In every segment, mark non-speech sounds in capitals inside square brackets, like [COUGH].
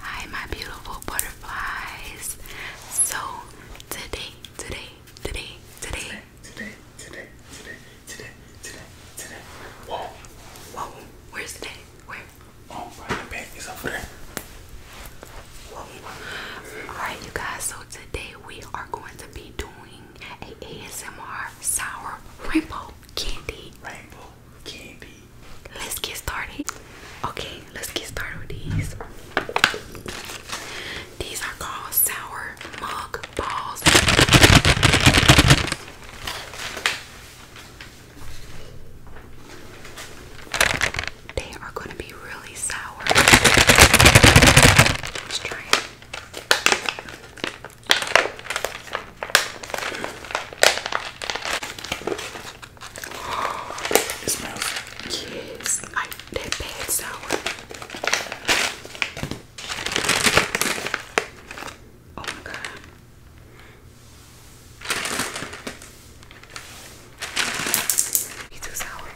Hi, my beautiful butterflies. So, today, today, today, today, today, today, today, today, today, today, whoa, whoa, where's the day? Where? Oh, right, the bed is over there. Whoa. Alright, you guys, so today we are going to be doing a ASMR sour rainbow candy. Rainbow candy. Let's get started. Okay, let's get started with these. These are called sour mug balls. They are going to be really sour. Let's try it. It smells. Yes, like that bad sour. Oh my god. He's too sour.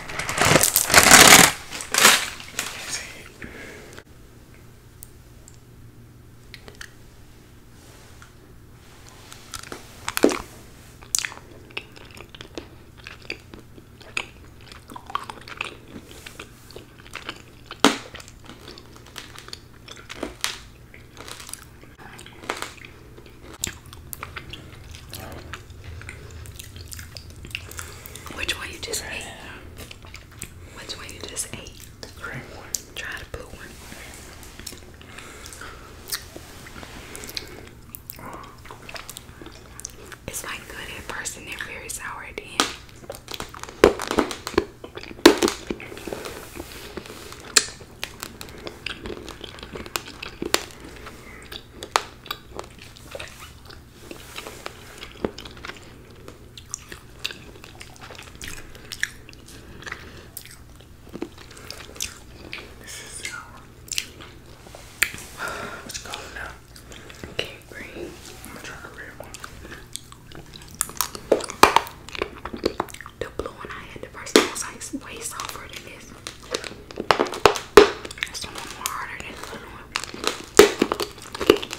That's it. Which one you just ate? Which one you just ate? Try the blue one. It's like good at first and then very sour at the end. This is what's going on now? Okay, green. I'm gonna try the red one. The blue one I had the first time was way softer than this. This one more harder than the blue one.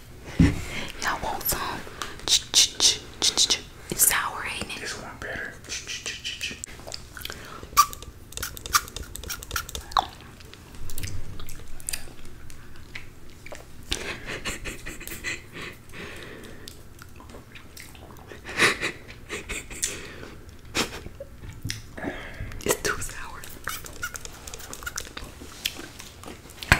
[LAUGHS] Y'all want some? It's sour, ain't one better. [LAUGHS] it's too sour. Got it.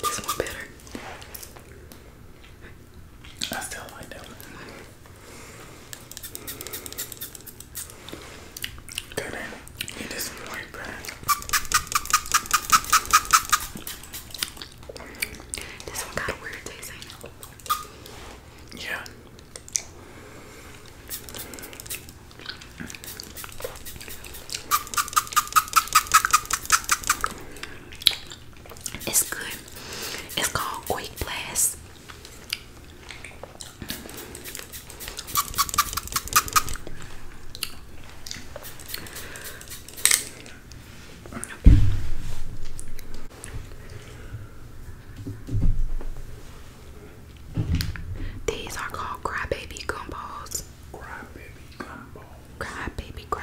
This one better. I still like that one. Good. It is more burnt. This one got a weird taste, I know. Yeah. It's good. It's called Quick Blast. Okay. These are called Crybaby Gumbos. Crybaby Gumbo. Crybaby, Crybaby.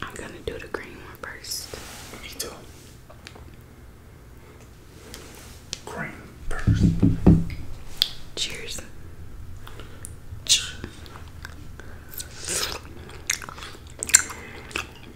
I'm gonna do the green one first. Me too. Green first. Cheers. Cheers.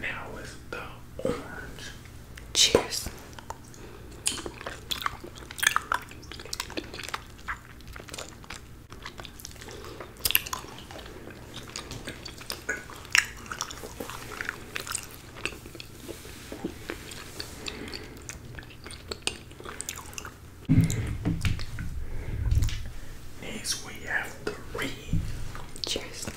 Now it's the orange. Cheers. Next we have have three. Cheers.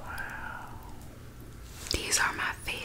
Wow. These are my favorite.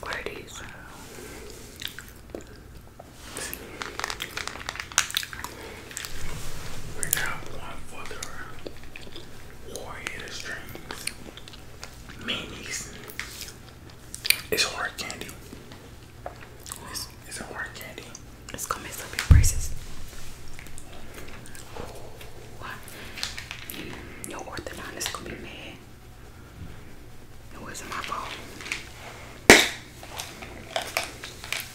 What are these? one for the Warrior Strings Minis. It's hard candy. It's a hard candy. It's gonna mess up your braces. your orthodontist gonna be mad. It wasn't my fault.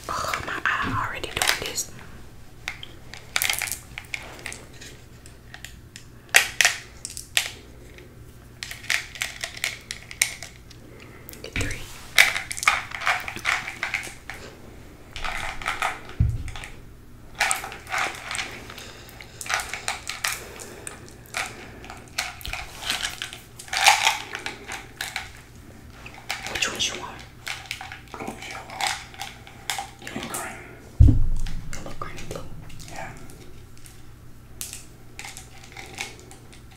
Oh, my eye already doing this. Three. Which one do you want? yellow, green. Yellow, green, Yeah.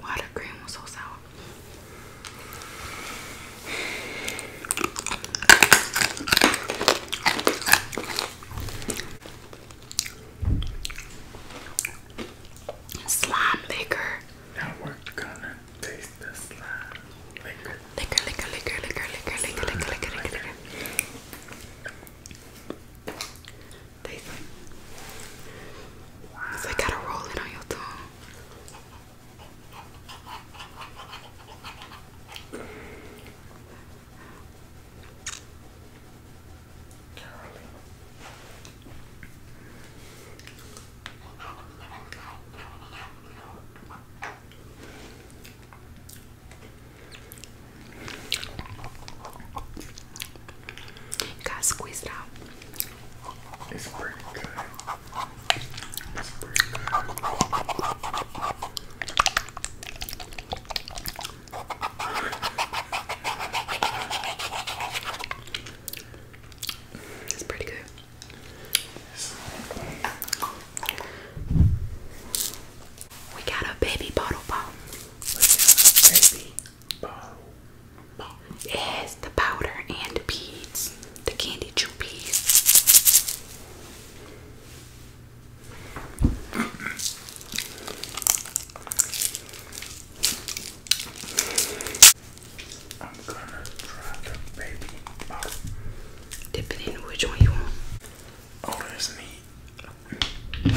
Why the cream was Slime maker. Now we're gonna taste the slime liquor. Liquor, liquor, liquor, liquor, liquor, liquor, liquor, liquor, liquor. liquor. They think. like gotta roll it on your tongue. Got squeezed out. It's pretty good. It's pretty good. We got a baby bottle bomb. Baby bottle it the powder and beads, the candy chew beads. Dip it in which one you want. Oh, that's neat.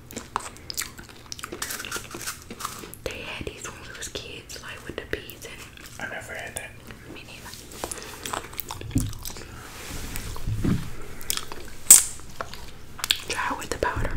They had these when we kids, like with the beads I never had that. Me neither. Try with the powder.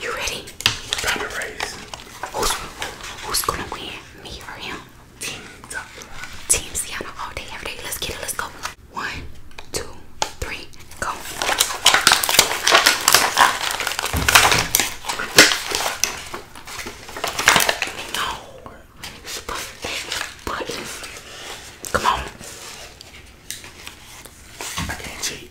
You ready? Time to race. Who's, who's gonna win? Me or him? Team up. Team's down all day, every day. Let's get it. Let's go. One, two, three, go. No. Buttons. Come on. I can't cheat.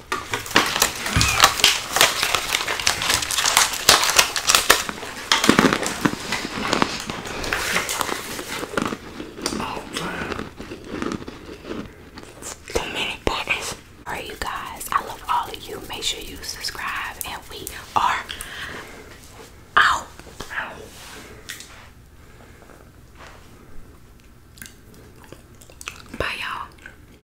Too many buttons. Alright, you guys. I love all of you. Make sure you subscribe, and we are out. Bye, y'all.